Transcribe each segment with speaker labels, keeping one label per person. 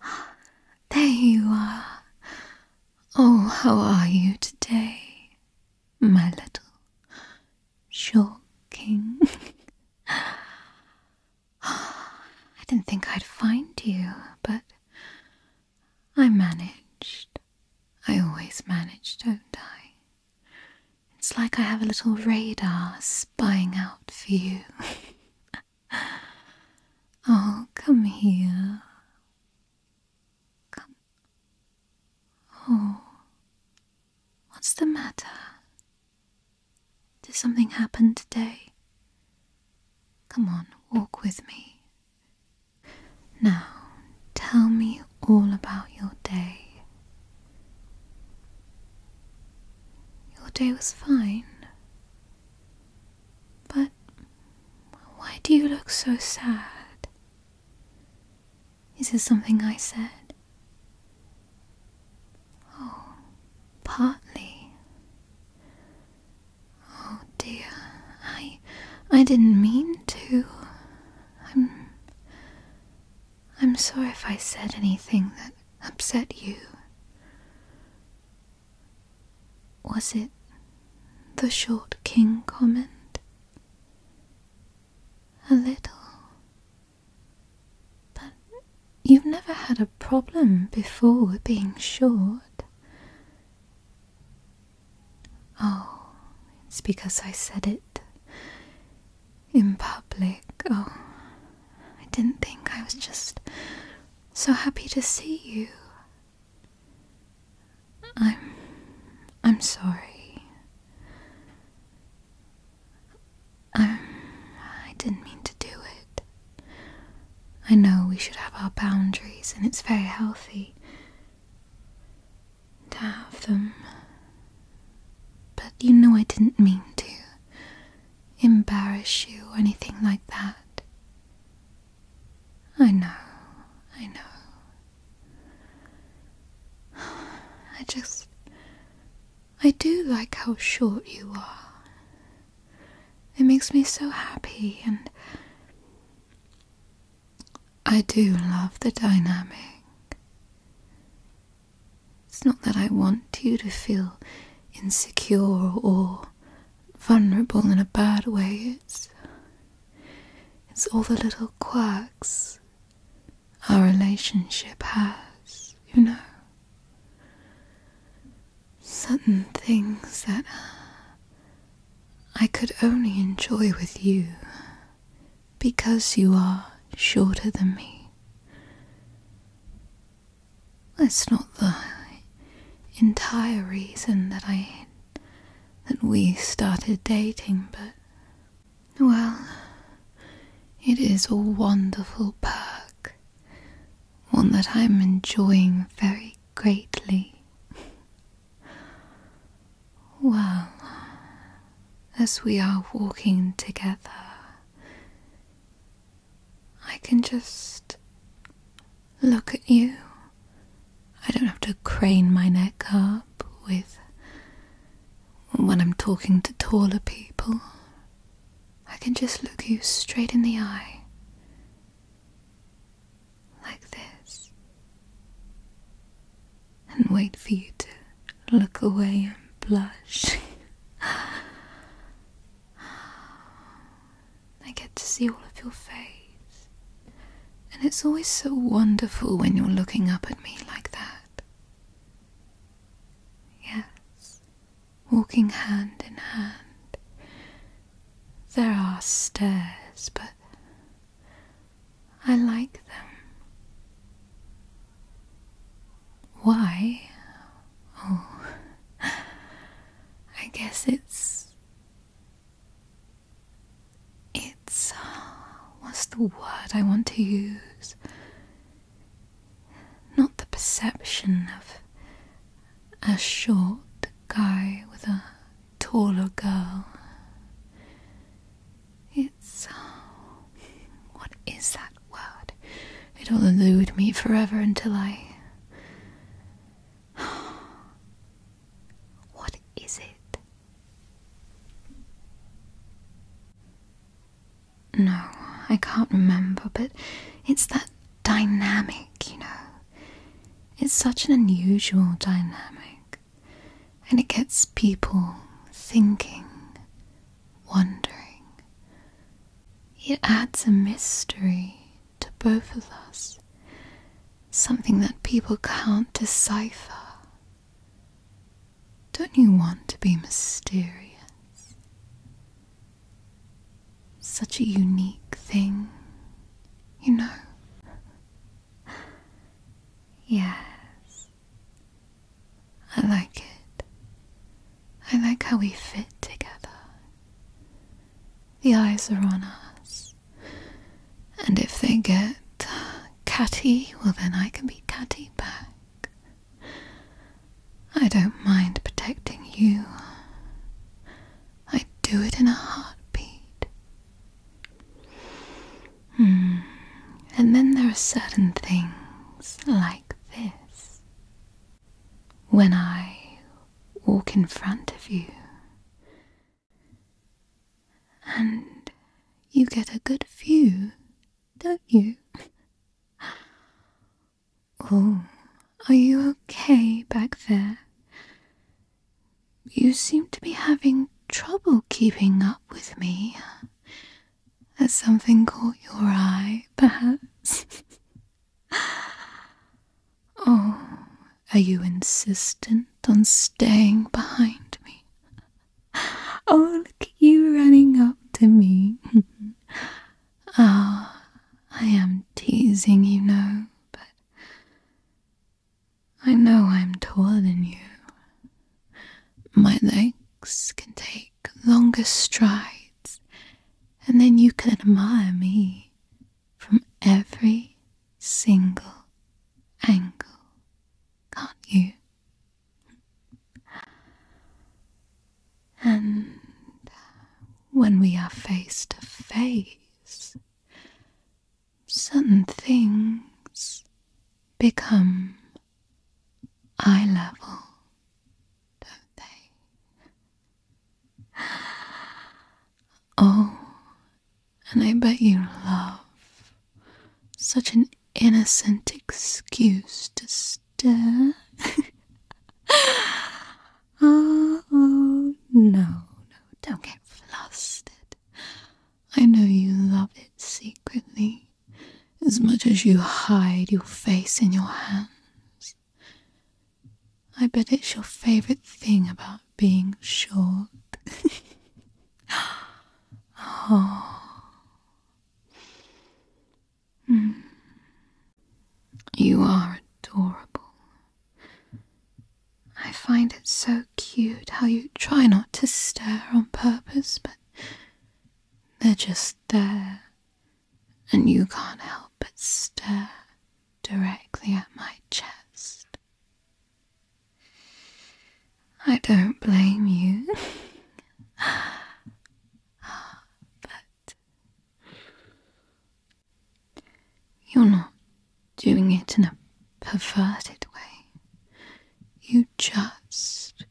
Speaker 1: There you are. Oh, how are you today, my little shocking? I didn't think I'd find you, but I managed. I always manage, don't I? It's like I have a little radar spying out for you. Oh, come here. Come. Oh. What's the matter? Did something happen today? Come on, walk with me. Now, tell me all about your day. Your day was fine. But why do you look so sad? Is it something I said? Oh, partly. Oh dear, I I didn't mean to. I'm I'm sorry if I said anything that upset you. Was it the short king comment? A little. But you've never had a problem before with being short. Oh, it's because I said it in public. Oh, I didn't think. I was just so happy to see you. I'm. I'm sorry. Um, I didn't mean to do it. I know we should have our boundaries, and it's very healthy to have them. But you know I didn't mean to embarrass you or anything like that. I know, I know. I just. I do like how short you are. It makes me so happy, and I do love the dynamic. It's not that I want you to feel insecure or vulnerable in a bad way. It's, it's all the little quirks our relationship has, you know. Certain things that I could only enjoy with you because you are shorter than me. That's not the entire reason that I that we started dating, but well, it is a wonderful perk, one that I'm enjoying very greatly. well, as we are walking together, I can just look at you. I don't have to crane my neck up with when I'm talking to taller people. I can just look you straight in the eye. Like this. And wait for you to look away and blush. I get to see all of your face, and it's always so wonderful when you're looking up at me like that. Yes, walking hand in hand. There are stairs, but I like them. Why? Oh, I guess it's. It's. Uh, what's the word I want to use? Not the perception of a short guy with a taller girl. It's. Uh, what is that word? It'll elude me forever until I. What is it? No, I can't remember, but it's that dynamic, you know. It's such an unusual dynamic and it gets people thinking, wondering. It adds a mystery to both of us, something that people can't decipher. Don't you want to be mysterious? Such a unique thing, you know? yes, I like it. I like how we fit together. The eyes are on us. And if they get uh, catty, well, then I can be catty back. I don't mind protecting you. I would do it in a heartbeat. Hmm. And then there are certain things like this. When I walk in front of you, and you get a good view, don't you? Oh, are you okay back there? You seem to be having trouble keeping up with me. Has something caught your eye, perhaps? oh, are you insistent on staying behind me? Oh, look at you running up to me. Ah, oh, I am teasing, you know, but I know I'm taller than you. My legs can take longer strides, and then you can admire me from every single angle, can't you? And when we are face to face, certain things become eye level, don't they? Oh, and I bet you love such an innocent excuse to stare. oh, no, no, don't get flustered. I know you love it secretly, as much as you hide your face in your hands. I bet it's your favorite thing about being short. oh. You are adorable. I find it so cute how you try not to stare on purpose, but they're just there, and you can't help but stare directly at my chest. I don't blame you. but you're not doing it in a perverted way. You just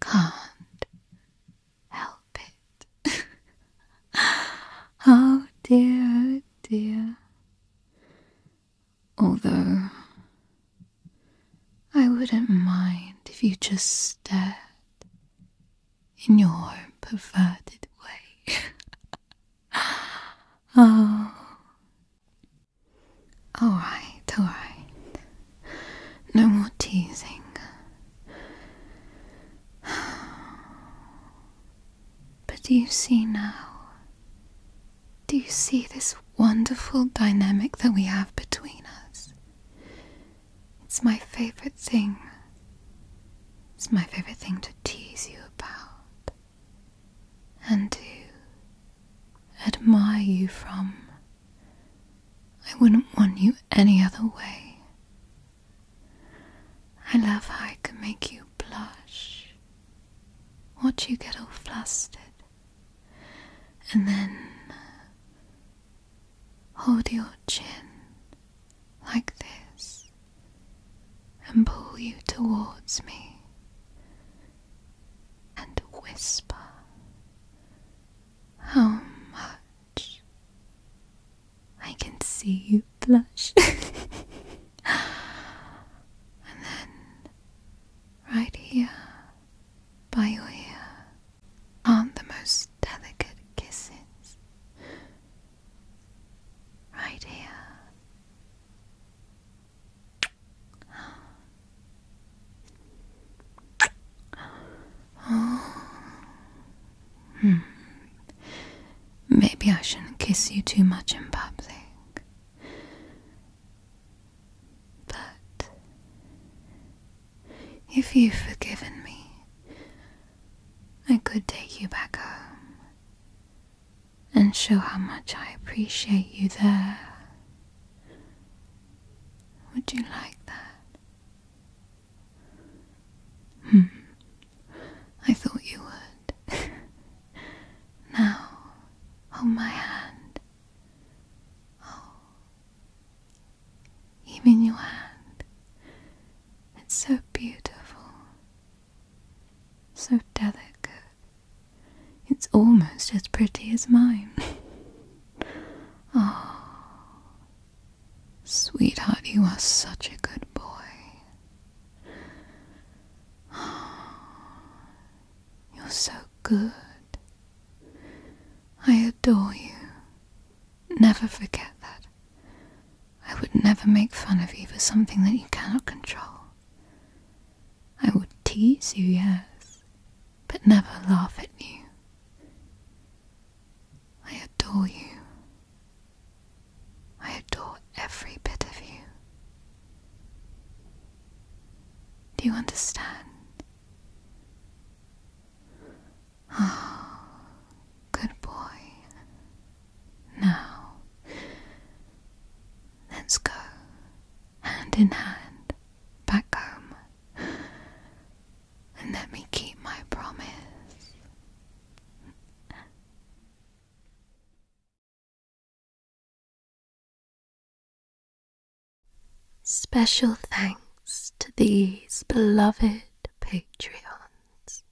Speaker 1: can't help it. oh dear, oh dear. Although I wouldn't mind if you just stared in your perverted way. oh, all right, all right. No more teasing. But do you see now? Do you see this wonderful dynamic that we have between us? It's my favorite thing. It's my favorite thing to tease you about and to admire you from. I wouldn't want you any other way. I love how I can make you blush, watch you get all flustered, and then hold your chin like this and pull you towards me and whisper how much I can see you blush. and then, right here by your ear, aren't the most delicate kisses. Right here Oh. Hmm. Maybe I shouldn't kiss you too much in public. But if you've forgiven me, I could take you back home and show how much I appreciate you there. Would you like that? Hmm. I thought you would. now, hold my hand. Oh. Even your hand. It's so beautiful. So delicate. It's almost as pretty as mine. oh, sweetheart, you are such a good boy. You're so good. I adore you. Never forget that. I would never make fun of you for something that you cannot control. I would tease you, yes, but never laugh at you. I adore you. I adore every bit of you. Do you understand? Ah, good boy. Now, let's go hand in hand back home and let me keep my promise. Special thanks to these beloved patrons.